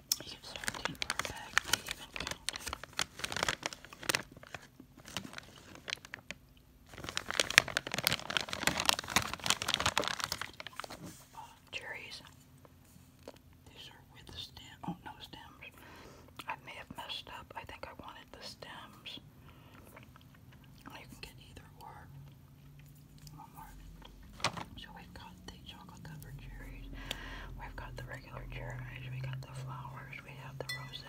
I even oh, cherries. These are with the stem. Oh, no stems. I may have messed up. I think I wanted the stems. You can get either or. One more. So we've the chocolate covered cherries, we've got the regular cherries, we got the flowers, we have the rosé.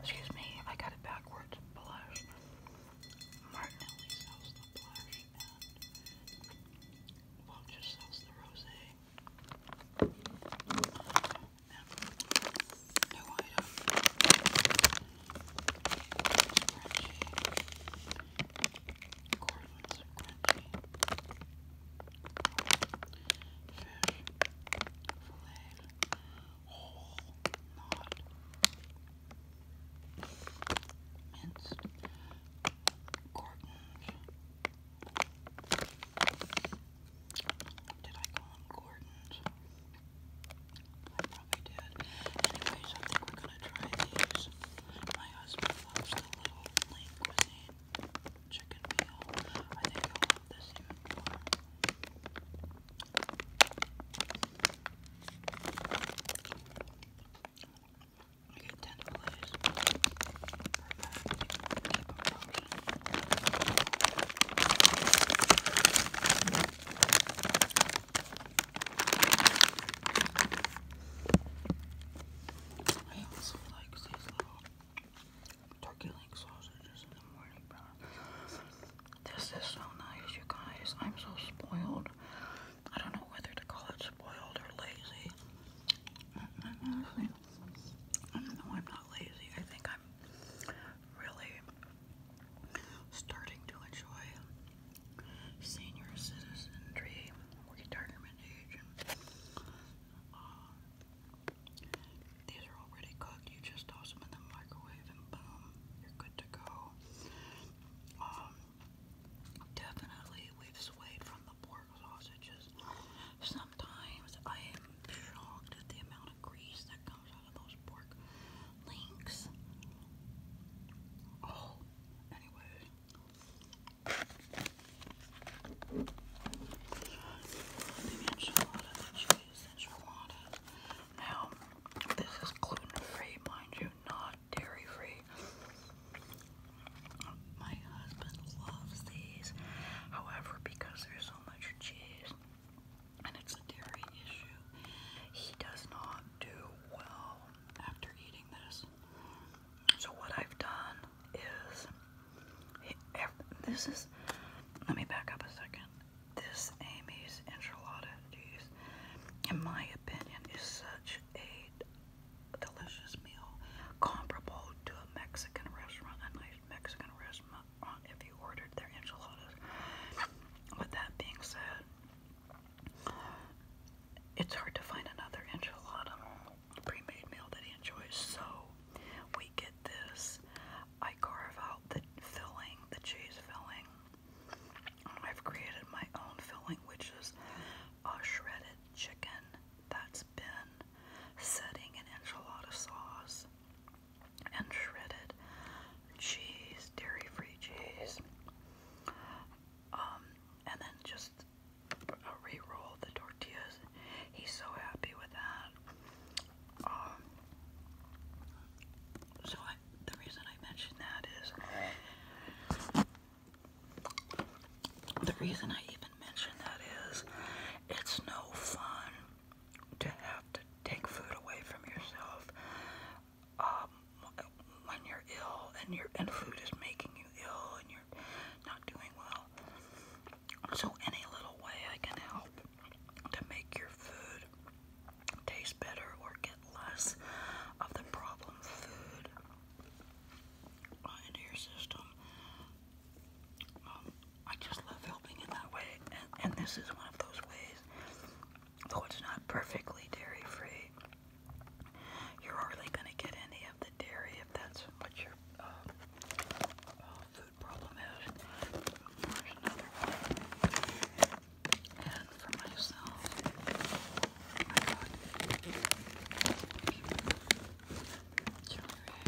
Excuse me, I got it backwards. Blush. Martinelli sells the blush and Welch sells the rosé. Um, new item. It's Cornlets are crunchy. Fish, filleted, whole, not minced, gordons. Did I call them gordons? I probably did. Anyways, I think we're gonna try these. My husband loves the little lean cuisine chicken meal. I think I love this even more. I get ten plays per pack. I also like these little turkey link sausages in the morning This is so nice, you guys. I'm so spoiled. I don't know whether to call it spoiled or lazy. no, I'm not lazy. I think I'm really starting to enjoy senior citizen dream. Uh, these are already cooked. You just toss them in the microwave and boom, you're good to go. Um, definitely we've swayed from the pork sausages. Sometimes I am shocked at the amount of grease that comes out of those pork links. Oh, Anyway, the enchilada, cheese enchilada. Now, this is gluten free, mind you, not dairy free. My husband loves these, however, because there's so much cheese and it's a dairy issue, he does not do well after eating this. So what I've done is, this is, let me back up a second. This Amy's enchilada cheese, in my opinion, is such a delicious meal, comparable to a Mexican restaurant, a nice Mexican restaurant if you ordered their enchiladas. With that being said, it's hard to find another enchilada pre-made meal that he enjoys, so we get this. I carve out the filling, the cheese filling. I've created my own filling, which is a shredded chicken that's been setting in enchilada sauce and shredded cheese, dairy-free cheese, um, and then just re-roll the tortillas. He's so happy with that. Um, so the reason I mention that is the reason I even mention that is it's no fun to have to take food away from yourself um, when you're ill and your and food is making you ill and you're not doing well. So any little way I can help to make your food taste better or get less of the problem food into your system. Um, I just love helping in that way, and, this is one of those ways. Though it's not perfectly dairy free, you're hardly going to get any of the dairy if that's what your uh, uh, food problem is. And for myself,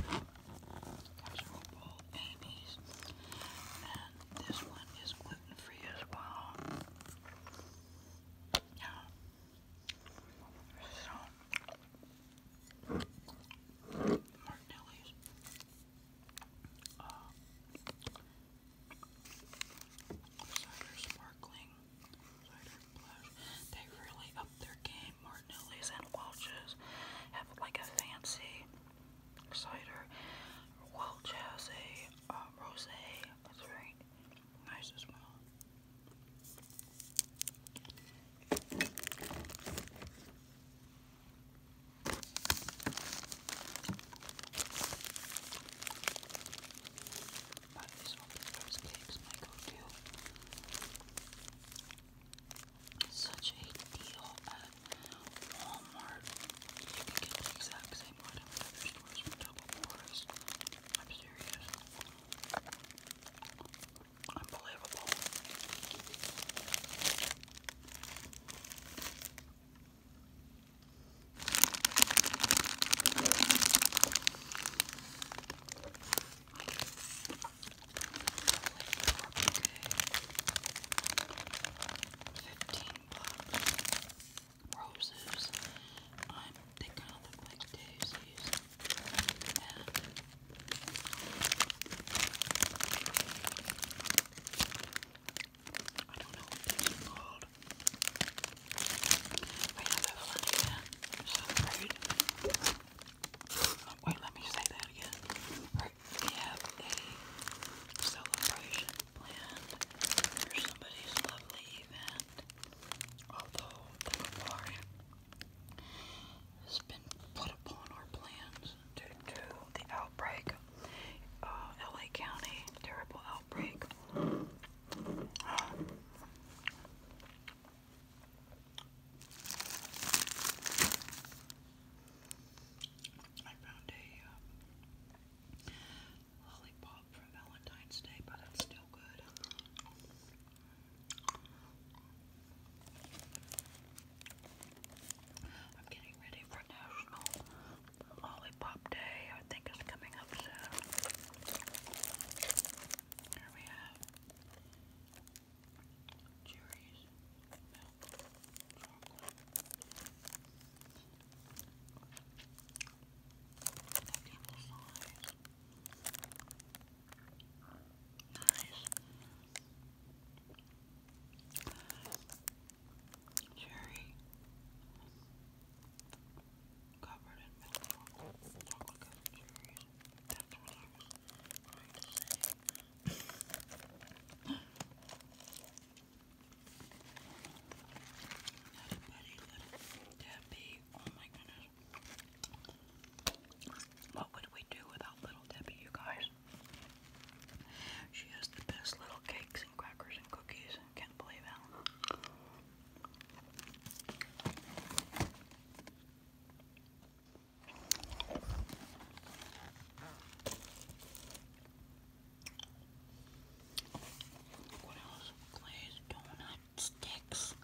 I got casserole bowl Amy's. And this one is gluten free as well. Yeah. So Martinelli's. Uh, cider sparkling, cider blush. They really up their game. St. Martinelli's and Welch's have like a fancy cider. Welch has a uh, rosé. It's very nice as well. But such a deal at Walmart. You can get the exact same item at other stores for double price. I'm serious. Unbelievable. Fifteen bucks. Roses. I'm they kind of look like daisies. And I don't know what these are called. I have a funny hand. I'm so afraid. Wait, let me say that again. we have a celebration planned for somebody's lovely event. Although the memorial has been put upon our plans due to the outbreak, uh, LA County terrible outbreak. I found a lollipop from Valentine's Day, but it's still good. I'm getting ready for National Lollipop Day. I think is coming up soon. Here we have cherries, milk, chocolate. That size. Nice. Cherry covered in milk chocolate chocolate That's what I was trying to say. little Debbie. Oh my goodness. What would we do without little Debbie, you guys? She has the best little cakes and crackers and cookies can't believe how what else? Glazed donut sticks.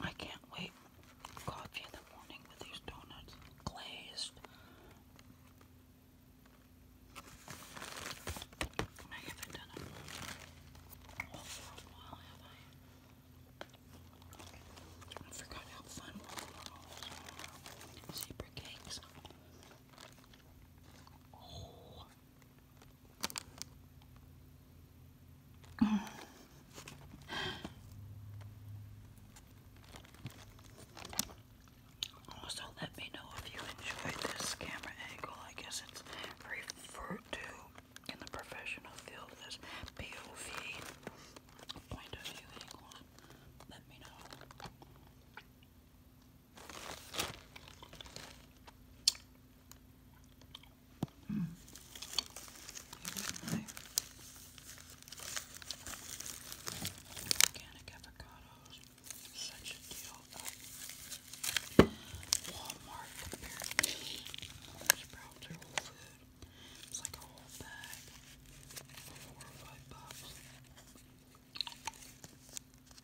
I can't wait coffee in the morning with these donuts, glazed. I haven't done a whole a while, have I? forgot how fun rolls Zebra cakes. Oh, also, let me know if you enjoyed this camera angle. I guess it's referred to in the professional field as POV, point of view angles. Let me know. Mm. My organic avocados, such a deal Walmart compared Food. It's like a whole bag for four or five bucks.